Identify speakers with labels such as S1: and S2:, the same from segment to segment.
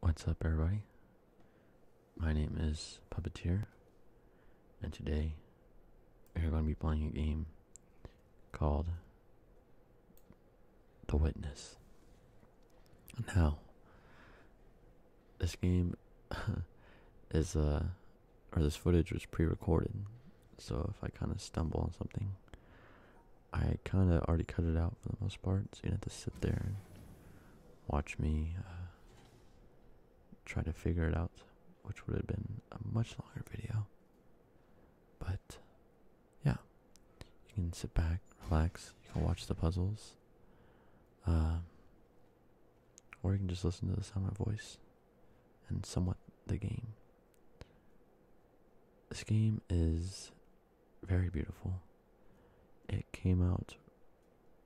S1: What's up, everybody? My name is Puppeteer, and today we're going to be playing a game called The Witness. Now, this game is, uh, or this footage was pre recorded, so if I kind of stumble on something, I kind of already cut it out for the most part, so you don't have to sit there and watch me uh, try to figure it out, which would have been a much longer video. But yeah, you can sit back, relax, you can watch the puzzles, uh, or you can just listen to the sound of my voice and somewhat the game. This game is very beautiful. It came out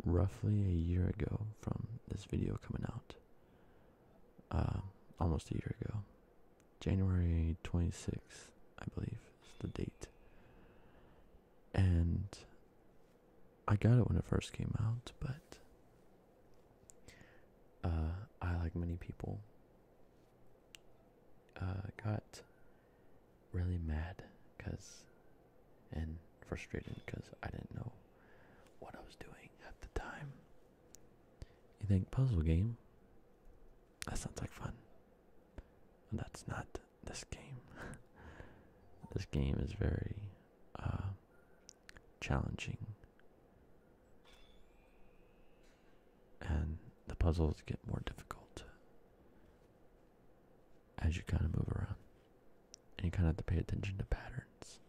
S1: roughly a year ago from this video coming out. Uh, almost a year ago. January 26th, I believe, is the date. And I got it when it first came out, but uh, I, like many people, uh, got really mad because and frustrated because I didn't know what I was doing at the time. You think puzzle game? That sounds like fun. That's not this game. this game is very uh, challenging and the puzzles get more difficult as you kind of move around. And you kind of have to pay attention to patterns.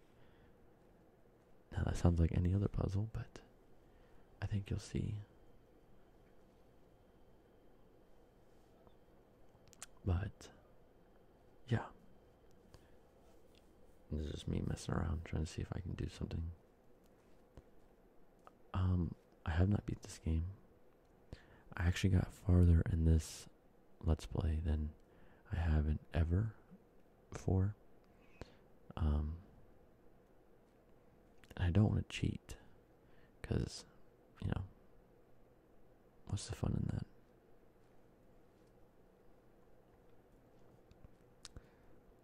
S1: Now, that sounds like any other puzzle, but I think you'll see. But, yeah. This is me messing around, trying to see if I can do something um, I have not beat this game. I actually got farther in this let's play than I haven't ever before. Um, I don't want to cheat because, you know, what's the fun in that?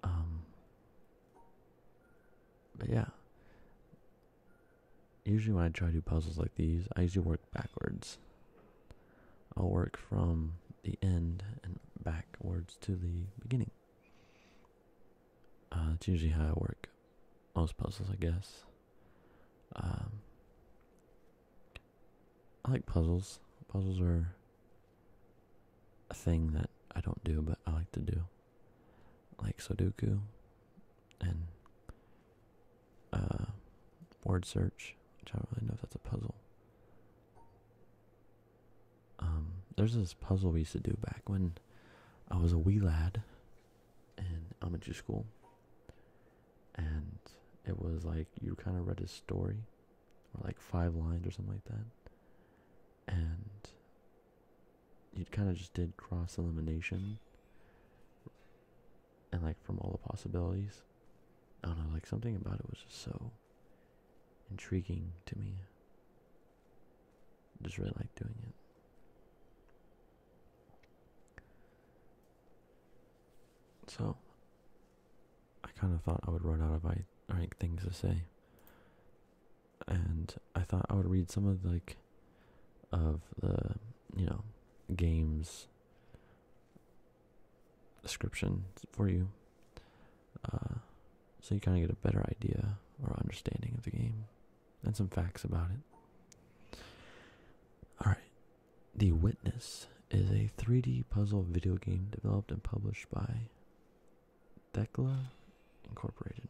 S1: Um, but yeah. Usually when I try to do puzzles like these, I usually work backwards. I'll work from the end and backwards to the beginning. Uh, that's usually how I work most puzzles, I guess. Um, I like puzzles. Puzzles are a thing that I don't do, but I like to do like Sudoku and uh, word search, which I don't really know if that's a puzzle. Um, there's this puzzle we used to do back when I was a wee lad in elementary school, and it was like you kind of read a story, or like five lines or something like that, and you kind of just did cross elimination and like from all the possibilities. I don't know, like something about it was just so intriguing to me. just really liked doing it. So, I kind of thought I would run out of I- things to say and I thought I would read some of the, like of the you know games description for you, uh, so you kind of get a better idea or understanding of the game and some facts about it. All right, The Witness is a 3D puzzle video game developed and published by Thecla Incorporated.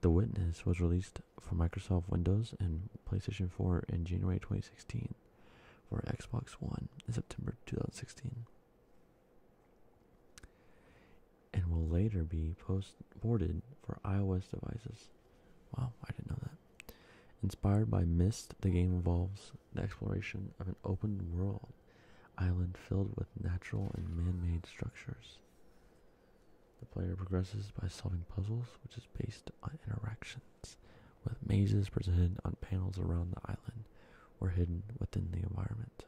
S1: The Witness was released for Microsoft Windows and PlayStation 4 in January 2016, for Xbox One in September 2016, and will later be post ported for iOS devices. Wow, I didn't know that. Inspired by Myst, the game involves the exploration of an open world island filled with natural and man-made structures. The player progresses by solving puzzles, which is based on interactions with mazes presented on panels around the island or hidden within the environment.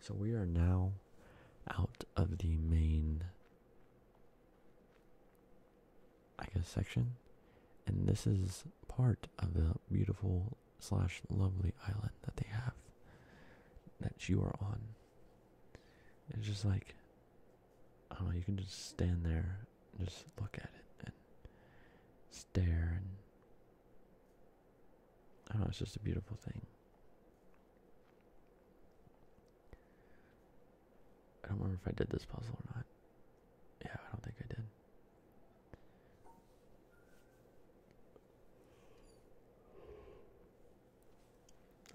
S1: So we are now out of the main, I guess, section, and this is part of the beautiful slash lovely island that they have that you are on. It's just like I don't know, you can just stand there just look at it and stare and I don't know, it's just a beautiful thing. I don't remember if I did this puzzle or not. Yeah, I don't think I did.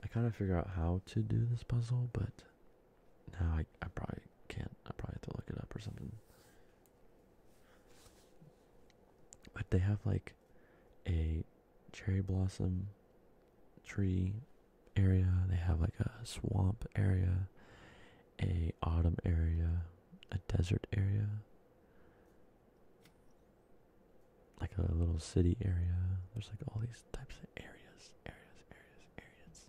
S1: I kind of figure out how to do this puzzle, but now I, I probably can't. I probably have to look it up or something. But they have like a cherry blossom tree area. They have like a swamp area, a autumn area, a desert area like a little city area. There's like all these types of areas, areas, areas, areas.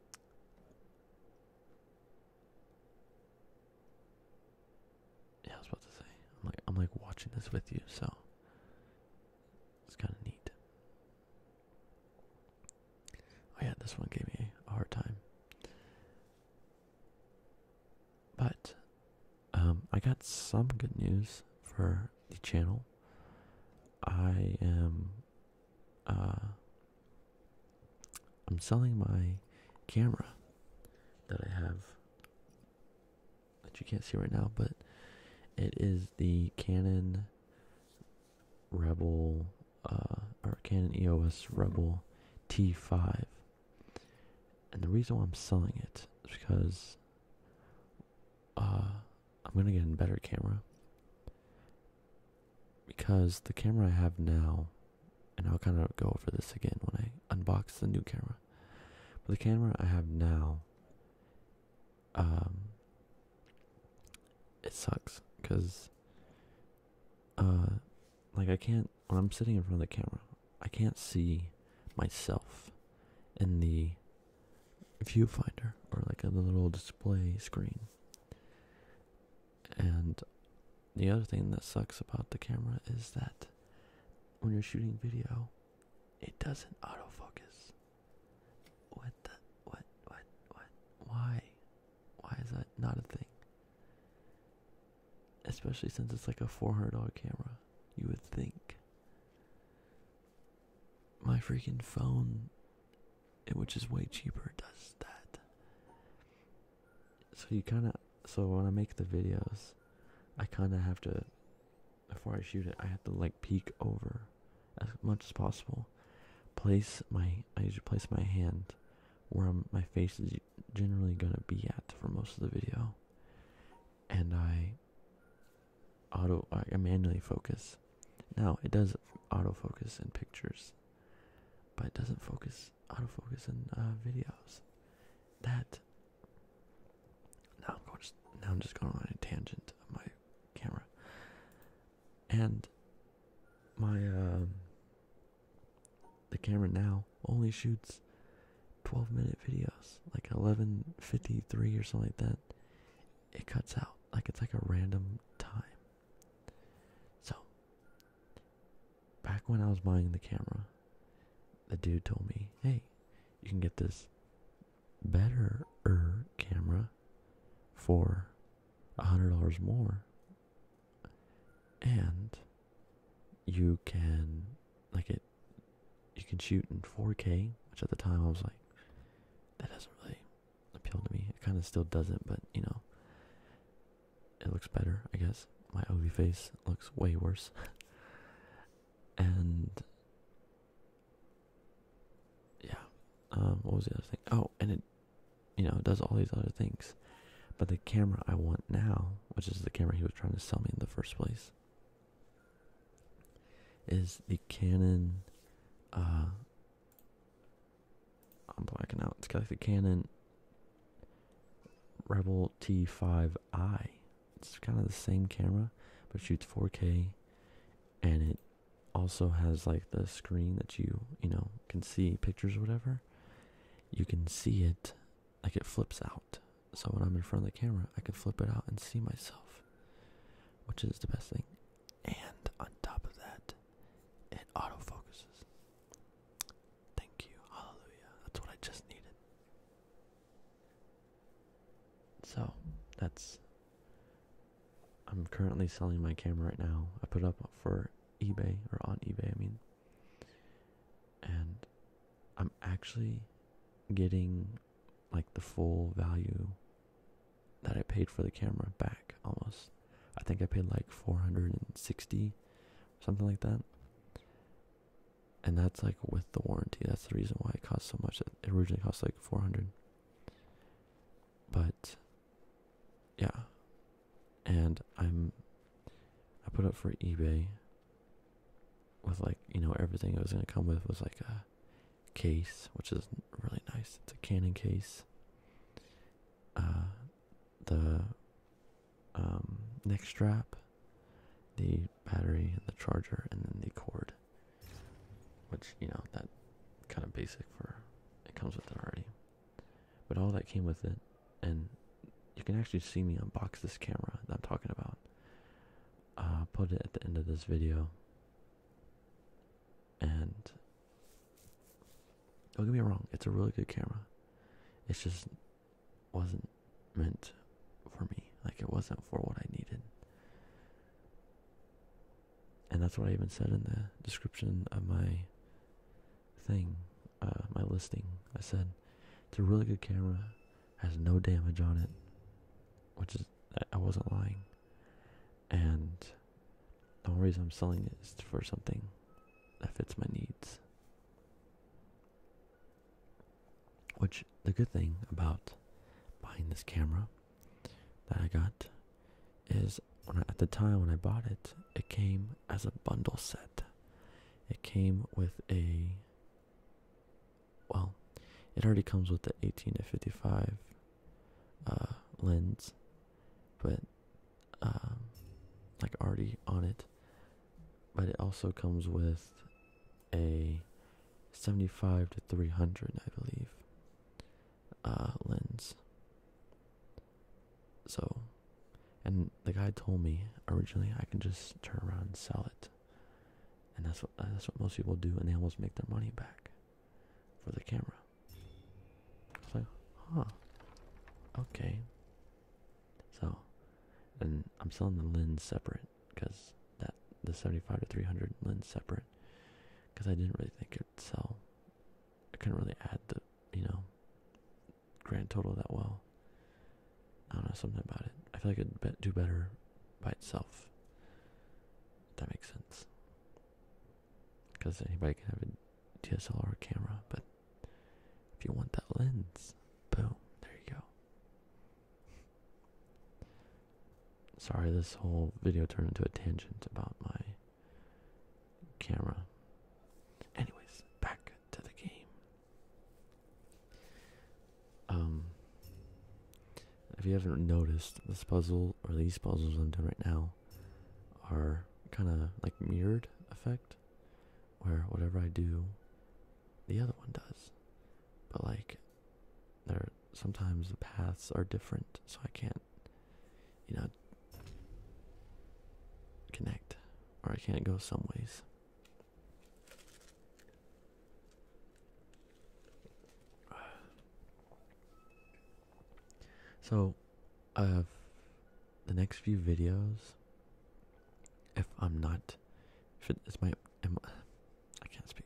S1: yeah, I was about to say. I'm like I'm like watching this with you, so it's kind of neat. Oh yeah, this one gave me a hard time. But um, I got some good news for the channel. I am uh, I'm selling my camera that I have that you can't see right now, but it is the Canon Rebel uh, or Canon EOS Rebel T5. And the reason why I'm selling it is because uh, I'm gonna get a better camera because the camera I have now, and I'll kind of go over this again when I unbox the new camera. But the camera I have now, um, it sucks because uh, like I can't when I'm sitting in front of the camera, I can't see myself in the viewfinder or like a little display screen. And the other thing that sucks about the camera is that when you're shooting video, it doesn't autofocus. What the what what what why? Why is that not a thing? Especially since it's like a $400 camera, you would think. My freaking phone, eh, which is way cheaper, does that. So you kind of, so when I make the videos, I kind of have to, before I shoot it, I have to like peek over as much as possible. Place my, I usually place my hand where my face is generally gonna be at for most of the video, and I auto I manually focus. Now it does auto focus in pictures, but it doesn't focus auto focus in uh, videos. That now I'm going just, now I'm just going on a tangent of my camera, and my um the camera now only shoots 12 minute videos, like 11:53 or something like that. It cuts out like it's like a random time. So, back when I was buying the camera, the dude told me, "Hey, you can get this better camera for a hundred dollars more and you can like it you can shoot in 4k which at the time i was like that doesn't really appeal to me it kind of still doesn't but you know it looks better i guess my ugly face looks way worse and yeah um, what was the other thing oh and it you know, does all these other things. But the camera I want now, which is the camera he was trying to sell me in the first place, is the Canon. Uh, I'm blacking out. It's got the Canon Rebel T5i. It's kind of the same camera, but shoots 4K, and it also has like the screen that you you know can see pictures whatever you can see it like it flips out. So when I'm in front of the camera, I can flip it out and see myself, which is the best thing. And on top of that, it autofocuses. Thank you. Hallelujah. That's what I just needed. So, that's. I'm currently selling my camera right now. I put up for eBay, or on eBay, I mean and I'm actually getting like the full value that I paid for the camera back almost. I think I paid like 460 something like that. And that's like with the warranty. That's the reason why it cost so much. It originally cost like 400. But yeah and i'm i put it for ebay with like you know everything it was going to come with was like a case which is really nice it's a canon case uh, the um, neck strap the battery and the charger and then the cord which you know that kind of basic for it comes with it already but all that came with it and you can actually see me unbox this camera that i'm talking about i'll put it at the end of this video and don't get me wrong it's a really good camera it just wasn't meant for me like it wasn't for what i needed and that's what i even said in the description of my thing, uh, my listing, I said it's a really good camera, has no damage on it, which is I wasn't lying, and the only reason I'm selling it is for something that fits my needs. Which the good thing about buying this camera that I got is at the time when I bought it, it came as a bundle set. It came with a well, it already comes with the 18 to 55 uh, lens, but um, like already on it. But it also comes with a 75 to 300, I believe, uh, lens. So, and the guy told me originally I can just turn around and sell it, and that's what that's what most people do, and they almost make their money back for the camera. I huh, okay. So, and I'm selling the lens separate because that the 75 to 300 lens separate because I didn't really think it'd sell. I couldn't really add the you know grand total that well. I don't know something about it. I feel like it'd do better by itself. If that makes sense. Because anybody can have a DSLR camera, but if you want that lens, boom, there you go. Sorry, this whole video turned into a tangent about my camera. Anyways, back to the game. Um, if you haven't noticed, this puzzle or these puzzles I'm doing right now are kind of like mirrored effect, where whatever I do, the other one does. But like, there sometimes the paths are different, so I can't, you know, connect, or I can't go some ways. So, uh, the next few videos, if I'm not, if it's my, I can't speak.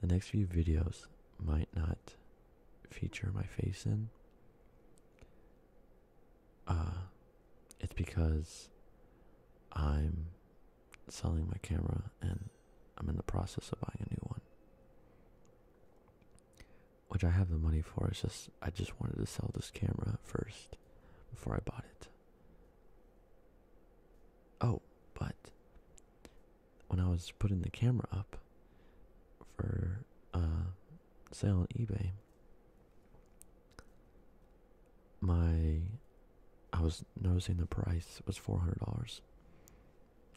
S1: The next few videos might not feature my face in uh, it's because I'm selling my camera and I'm in the process of buying a new one. Which I have the money for. It's just I just wanted to sell this camera first before I bought it. Oh, but when I was putting the camera up for uh Sell on eBay, my I was noticing the price was four hundred dollars,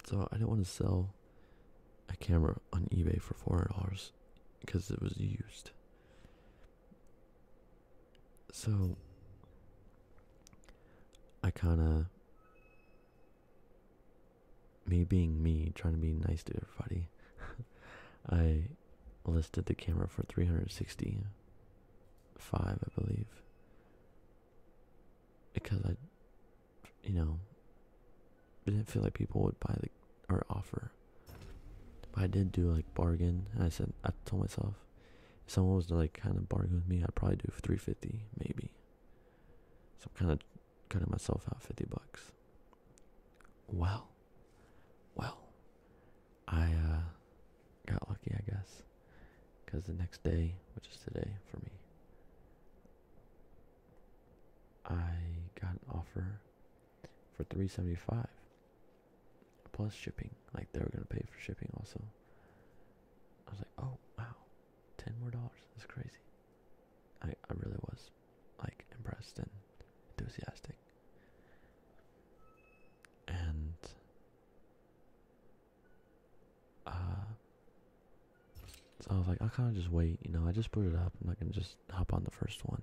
S1: so I didn't want to sell a camera on eBay for four hundred dollars because it was used. So I kind of me being me, trying to be nice to everybody. I listed the camera for 365, I believe. Because I, you know, didn't feel like people would buy the or offer. But I did do like bargain. I said I told myself if someone was like kind of bargain with me, I'd probably do 350 maybe. So I'm kind of cutting myself out 50 bucks. Well, well, I uh, got lucky, I guess, because the next day, which is today for me, I got an offer for three seventy five plus shipping. Like they were gonna pay for shipping also. I was like, oh wow, ten more dollars. That's crazy. I I really was like impressed and enthusiastic. And uh, so I was like, i kind of just wait, you know. I just put it up. and i can just hop on the first one.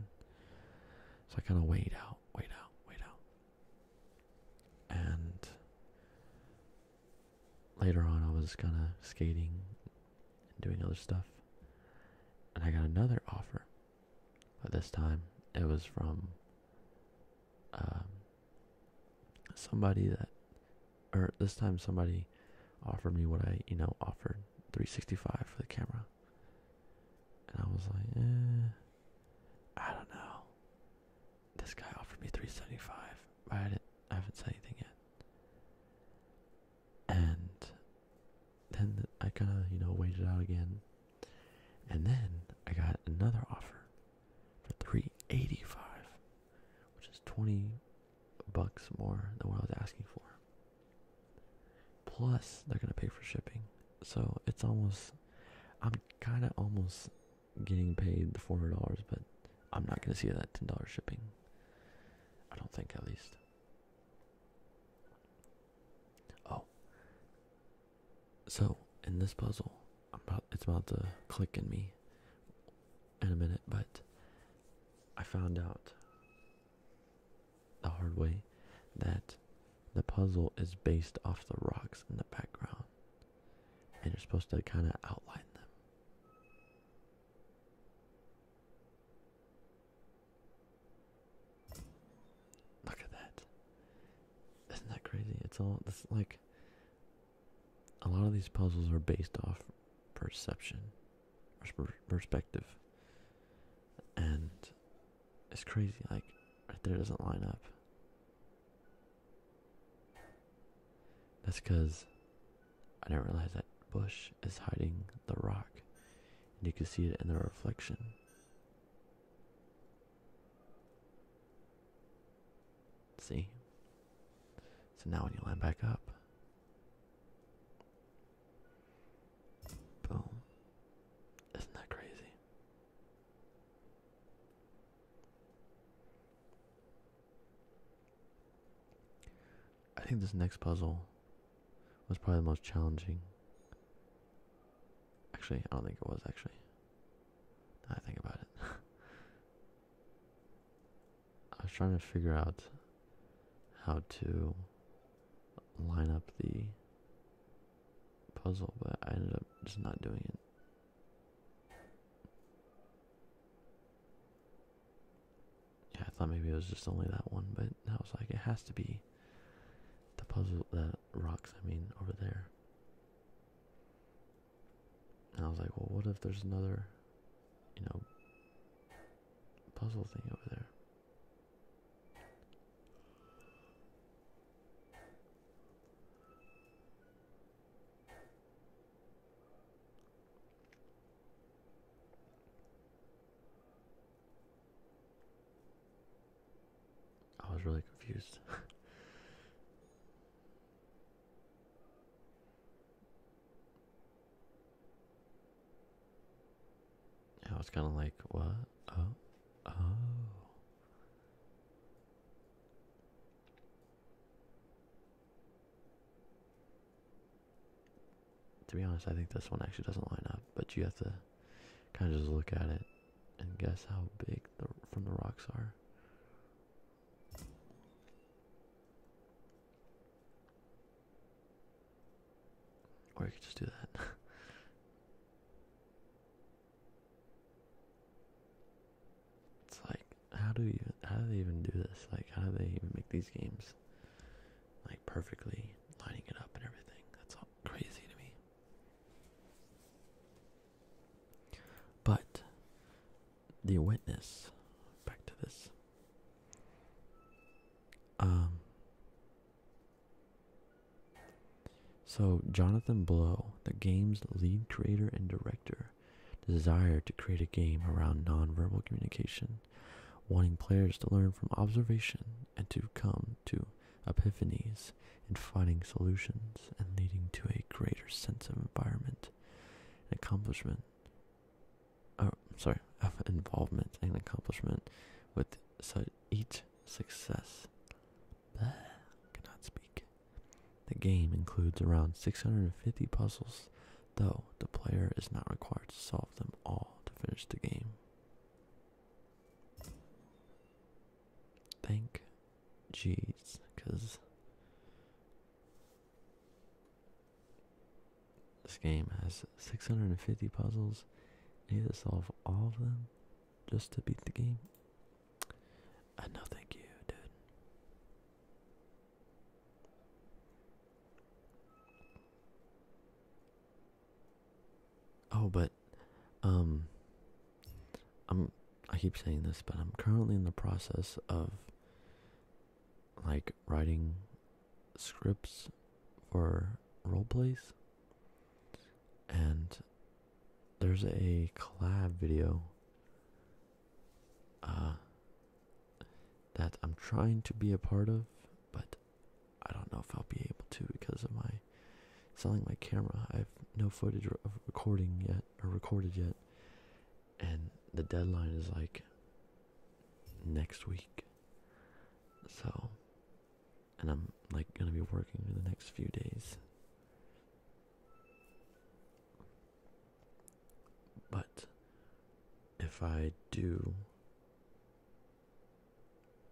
S1: So I kind of wait out, wait out, wait out. And later on, I was kind of skating and doing other stuff, and I got another offer but this time it was from um, somebody that, or this time somebody offered me what I, you know, offered 365 for the camera. And I was like, eh, I don't know. This guy offered me 375, but I, didn't, I haven't said anything yet. And then I kind of, you know, waited out again. And then I got another offer for 385 which is 20 bucks more than what I was asking for. Plus, they're going to pay for shipping. So, it's almost I'm kind of almost getting paid the $400, but I'm not going to see that $10 shipping. I don't think at least. Oh. So in this puzzle, it's about to click in me in a minute, but I found out the hard way that the puzzle is based off the rocks in the background, and you're supposed to kind of outline them. Look at that. Isn't that crazy? It's all this like a lot of these puzzles are based off perception perspective. And it's crazy, like right there doesn't line up. That's because I didn't realize that bush is hiding the rock and you can see it in the reflection. See? So now when you line back up, boom. Isn't that crazy? I think this next puzzle was probably the most challenging. Actually, I don't think it was actually. I think about it. I was trying to figure out how to line up the puzzle, but I ended up just not doing it. Yeah, I thought maybe it was just only that one, but I was like, it has to be the puzzle that rocks I mean over there. And I was like, well what if there's another you know puzzle thing over there? I was really confused. I was kind of like, what? Oh, oh to be honest, I think this one actually doesn't line up, but you have to kind of just look at it and guess how big the from the rocks are. Or you could just do that. it's like how do you how do they even do this? Like how do they even make these games like perfectly lining it up and everything? That's all crazy to me. But the witness, back to this. Um, so, Jonathan Blow, the game's lead creator and director, desired to create a game around nonverbal communication, wanting players to learn from observation and to come to epiphanies and finding solutions and leading to a greater sense of environment and accomplishment. Oh, sorry, of involvement and accomplishment with each success. cannot speak. The game includes around 650 puzzles, though the player is not required to solve them all to finish the game. Thank jeez, because this game has 650 puzzles. You need to solve all of them just to beat the game. I uh, thank you, dude. Oh, but um I'm I keep saying this, but I'm currently in the process of like writing scripts for role plays. And there's a collab video uh that I'm trying to be a part of, but I don't know if I'll be able to because of my selling my camera. I have no footage of recording yet or recorded yet, and the deadline is like next week. So, and I'm like gonna be working in the next few days. But if I do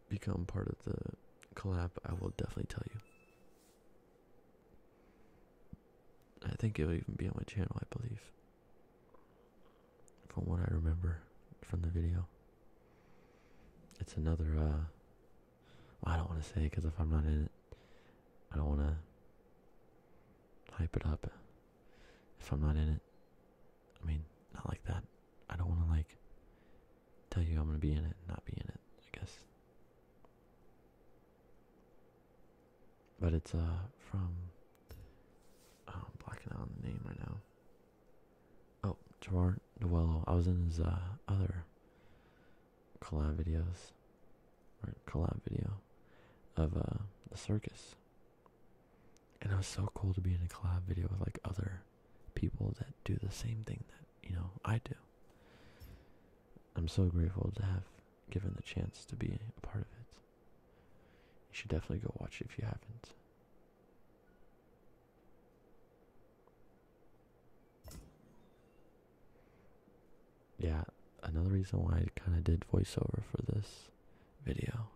S1: become part of the collab, I will definitely tell you. I think it'll even be on my channel, I believe. From what I remember from the video. It's another, uh, I don't want to say because if I'm not in it, I don't want to hype it up if I'm not in it. I mean, not like that. I don't want to like tell you I'm gonna be in it not be in it. I guess. But it's uh from. Oh, i blacking out the name right now. Oh, Javar Duello. I was in his uh, other collab videos, or collab video of uh, the circus and it was so cool to be in a collab video with like other people that do the same thing that you know I do. I'm so grateful to have given the chance to be a part of it. You should definitely go watch it if you haven't. Yeah, another reason why I kind of did voiceover for this video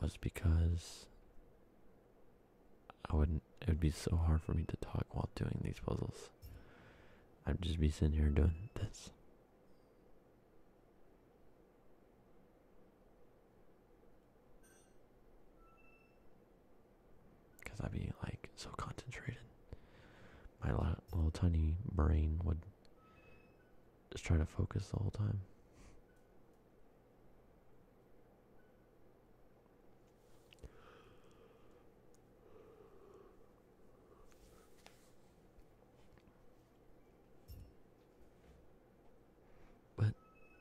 S1: was because I wouldn't, it would be so hard for me to talk while doing these puzzles. I'd just be sitting here doing this. Because I'd be like so concentrated. My little tiny brain would just try to focus the whole time. But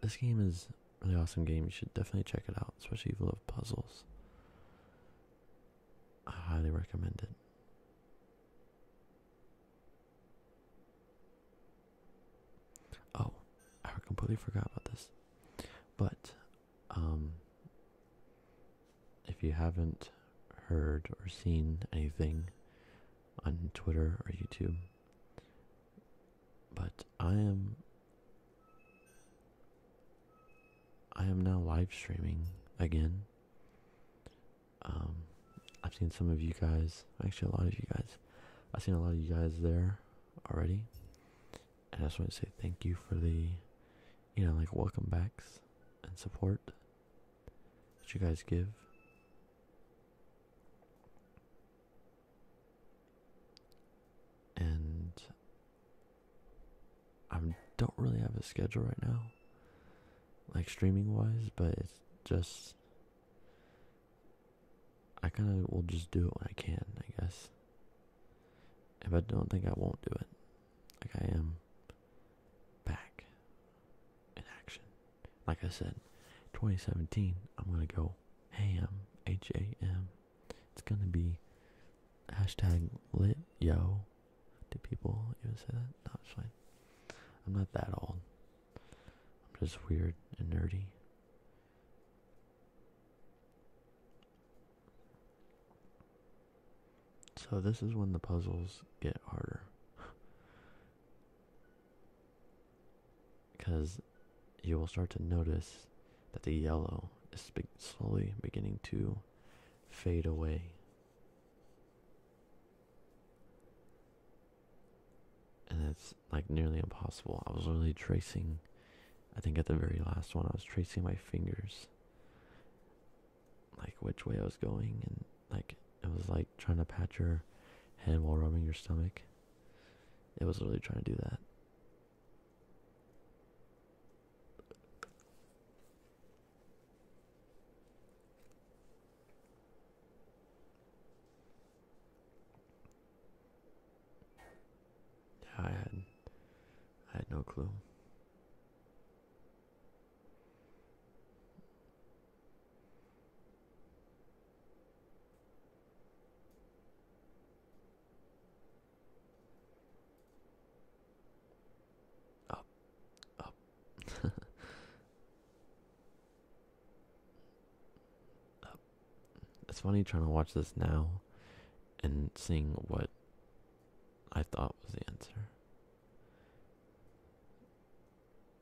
S1: this game is a really awesome game. You should definitely check it out, especially if you love puzzles. I highly recommend it. Oh, I completely forgot about this. But, um, if you haven't heard or seen anything on Twitter or YouTube, but I am. I am now live streaming again. Um, I've seen some of you guys, actually, a lot of you guys, I've seen a lot of you guys there already. And I just want to say thank you for the, you know, like welcome backs and support that you guys give. And I don't really have a schedule right now, like streaming wise, but it's just I kind of will just do it when I can, I guess. If I don't think I won't do it, like I am back in action. Like I said, 2017, I'm gonna go ham, H A M. It's gonna be hashtag lit yo. Did people even say that? No, fine. I'm not that old. I'm just weird and nerdy. So, this is when the puzzles get harder. Because you will start to notice that the yellow is slowly beginning to fade away. And it's like nearly impossible. I was really tracing, I think at the very last one, I was tracing my fingers, like which way I was going, and like I was like trying to pat your head while rubbing your stomach. It was really trying to do that. Yeah, I had I had no clue. Up, up. It's funny trying to watch this now and seeing what I thought was the answer.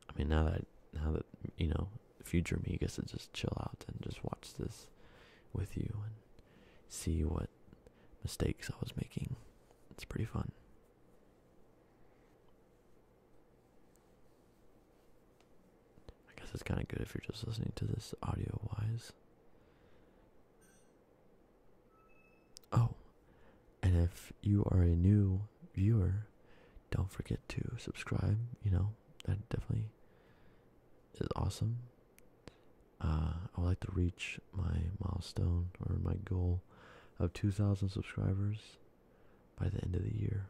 S1: I mean, now that now that you know, future me gets to just chill out and just watch this with you and see what mistakes I was making. It's pretty fun. I guess it's kind of good if you're just listening to this audio wise. Oh, and if you are a new viewer, don't forget to subscribe. You know, that definitely is awesome. Uh, I would like to reach my milestone or my goal of 2,000 subscribers by the end of the year.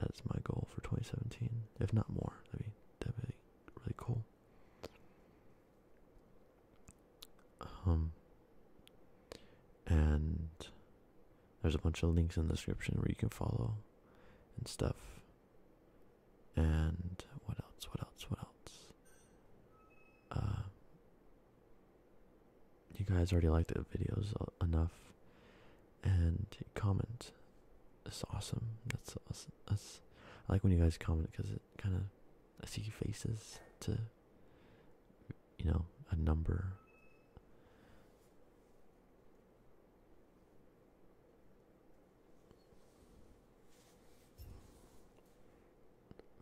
S1: That's my goal for 2017, if not more. I mean, that'd be really cool. Um, and there's a bunch of links in the description where you can follow and stuff. And what else? What else? What else? Uh, you guys already liked the videos uh, enough and comment. It's awesome. That's awesome. That's I like when you guys comment because it kind of I see faces to you know a number.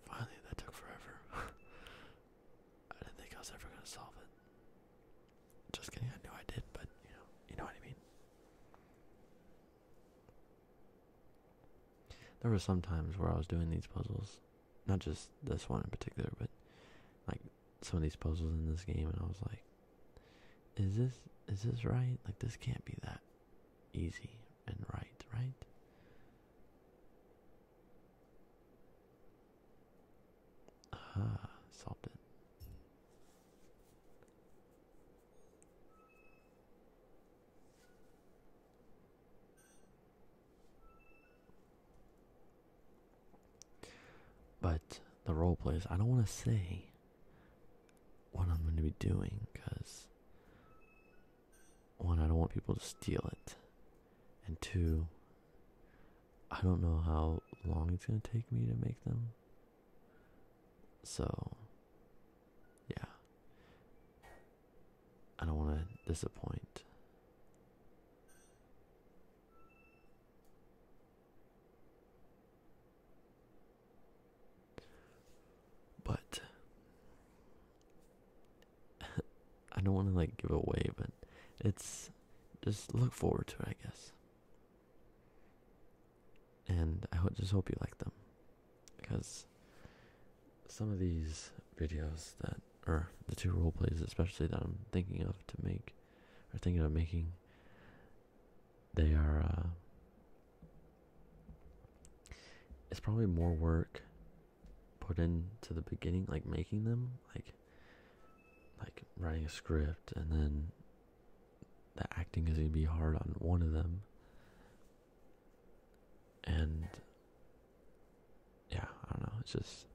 S1: Finally, that took forever. I didn't think I was ever gonna solve it. Just kidding, I knew I did, but you know, you know what I mean. There were some times where I was doing these puzzles, not just this one in particular, but like some of these puzzles in this game, and I was like, "Is this is this right? Like this can't be that easy and right, right?" Ah, solved it. But the role plays, I don't want to say what I'm going to be doing because one, I don't want people to steal it, and two, I don't know how long it's going to take me to make them. So, yeah. I don't want to disappoint. But I don't want to like give away, but it's just look forward to it, I guess and I just hope you like them because some of these videos that or the two role plays especially that I'm thinking of to make or thinking of making they are uh it's probably more work put into the beginning like making them like like writing a script and then the acting is going to be hard on one of them and yeah i don't know it's just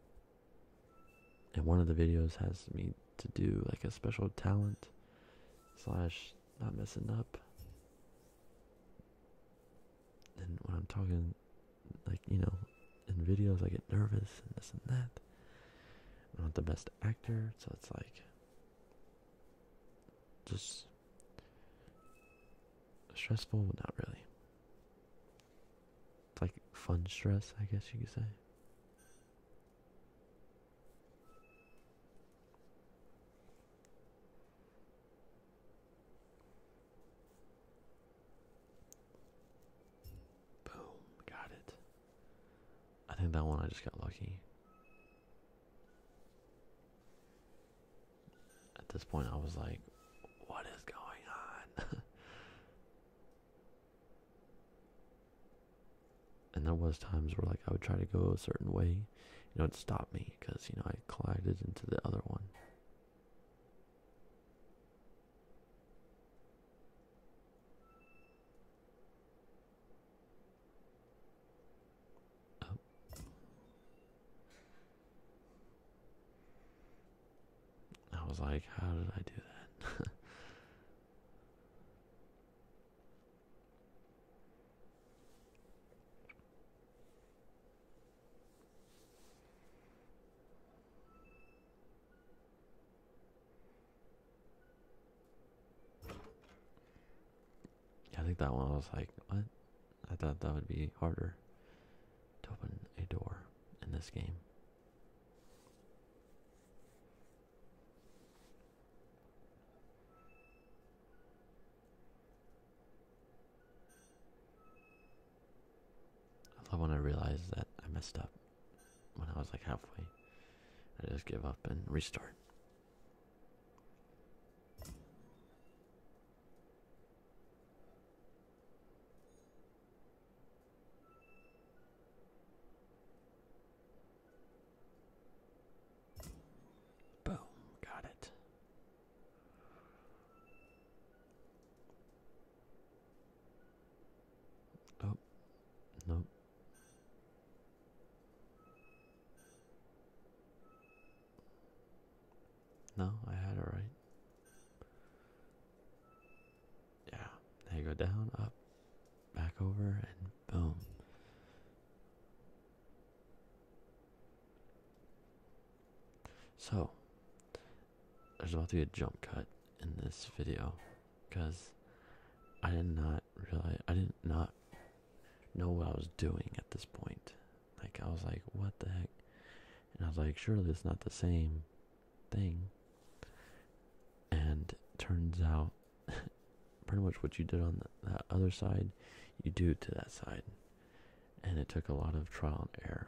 S1: and one of the videos has me to do like a special talent slash not messing up and when i'm talking like you know in videos I get nervous and this and that. I'm not the best actor, so it's like just stressful, but not really. like fun stress, I guess you could say. Boom, got it. I think that one I just got lucky. At this point, I was like, what is going on? and there was times where like I would try to go a certain way, you know, it stopped me because, you know, I collided into the other one. Oh. I was like, how did I do that? I think that one I was like, what? I thought that would be harder to open a door in this game. I love when I realize that I messed up when I was like halfway. I just give up and restart. Boom, got it. Oh, no. No, I had it right. Yeah, there you go down, up, back over, and boom. So, there's about to be a jump cut in this video because I did not realize I did not know what I was doing at this point. Like I was like, what the heck? And I was like, surely it's not the same thing. And turns out, pretty much what you did on that other side, you do to that side. And it took a lot of trial and error.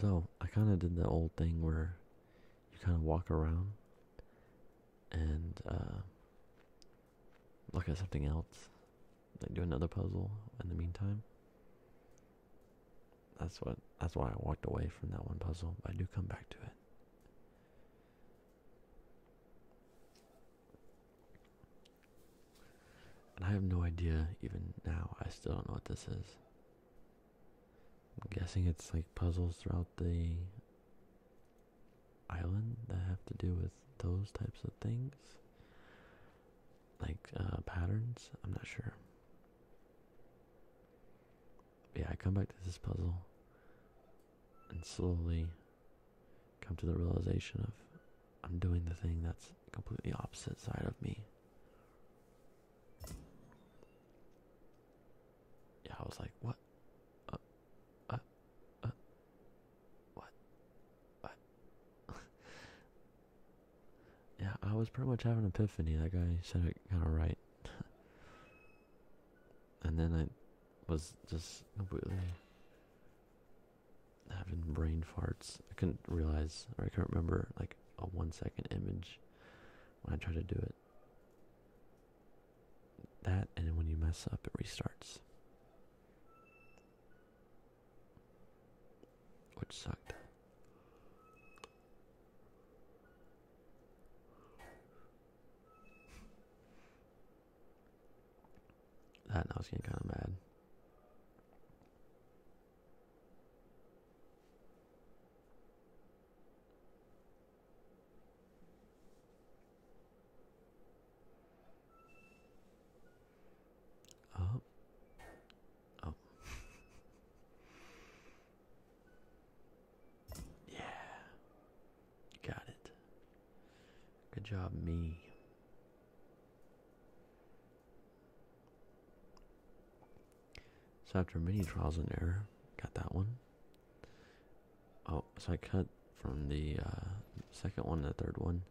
S1: So I kind of did the old thing where you kind of walk around and uh, look at something else, like do another puzzle in the meantime. That's what. That's why I walked away from that one puzzle. But I do come back to it. And I have no idea even now. I still don't know what this is. I'm guessing it's like puzzles throughout the island that have to do with those types of things. Like uh, patterns. I'm not sure yeah, I come back to this puzzle and slowly come to the realization of I'm doing the thing that's completely opposite side of me. Yeah, I was like, what? Uh, uh, uh, what? yeah, I was pretty much having an epiphany. That guy said it kind of right. and then I was just completely having brain farts. I couldn't realize, or I can not remember, like a one-second image when I try to do it. That and then when you mess up, it restarts, which sucked. that now is getting kind of mad. Oh. Oh. Yeah. got it. Good job, me. So after many trials and error, got that one. Oh, so I cut from the uh, second one to the third one,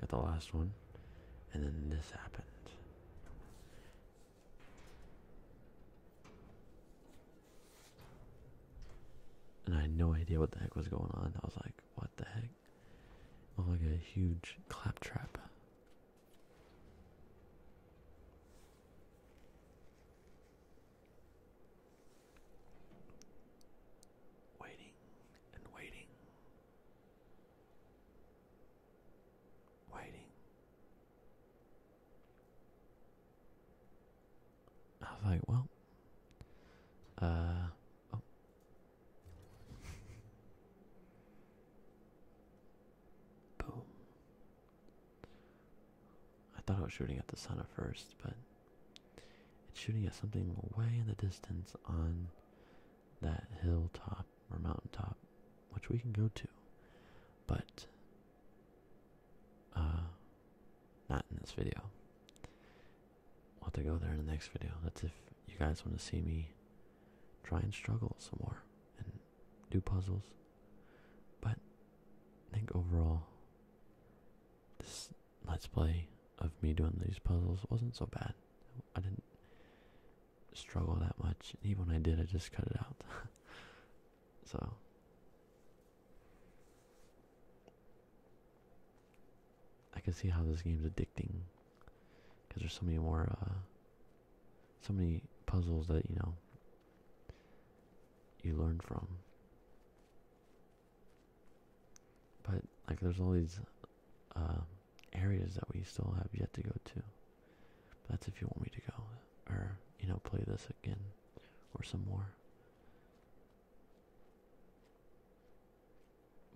S1: got the last one, and then this happened. And I had no idea what the heck was going on. I was like, what the heck? Oh, like a huge claptrap. Waiting and waiting. Waiting I was like, well, uh, oh. boom. I thought I was shooting at the sun at first, but it's shooting at something way in the distance on that hilltop or mountaintop, which we can go to, but uh, not in this video. We'll have to go there in the next video. That's if you guys want to see me try and struggle some more and do puzzles. But I think overall, this let's play of me doing these puzzles wasn't so bad. I didn't struggle that much. And even when I did, I just cut it out. So I can see how this game's addicting because there's so many more uh, so many puzzles that you know you learn from. But like there's all these uh, areas that we still have yet to go to. that's if you want me to go or you know play this again or some more.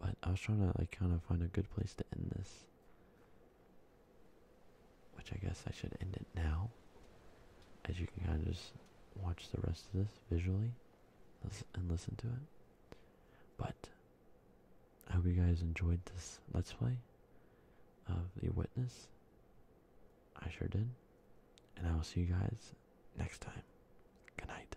S1: But I was trying to like kind of find a good place to end this. Which I guess I should end it now. As you can kind of just watch the rest of this visually and listen to it. But I hope you guys enjoyed this Let's Play of The Witness. I sure did. And I will see you guys next time. Good night.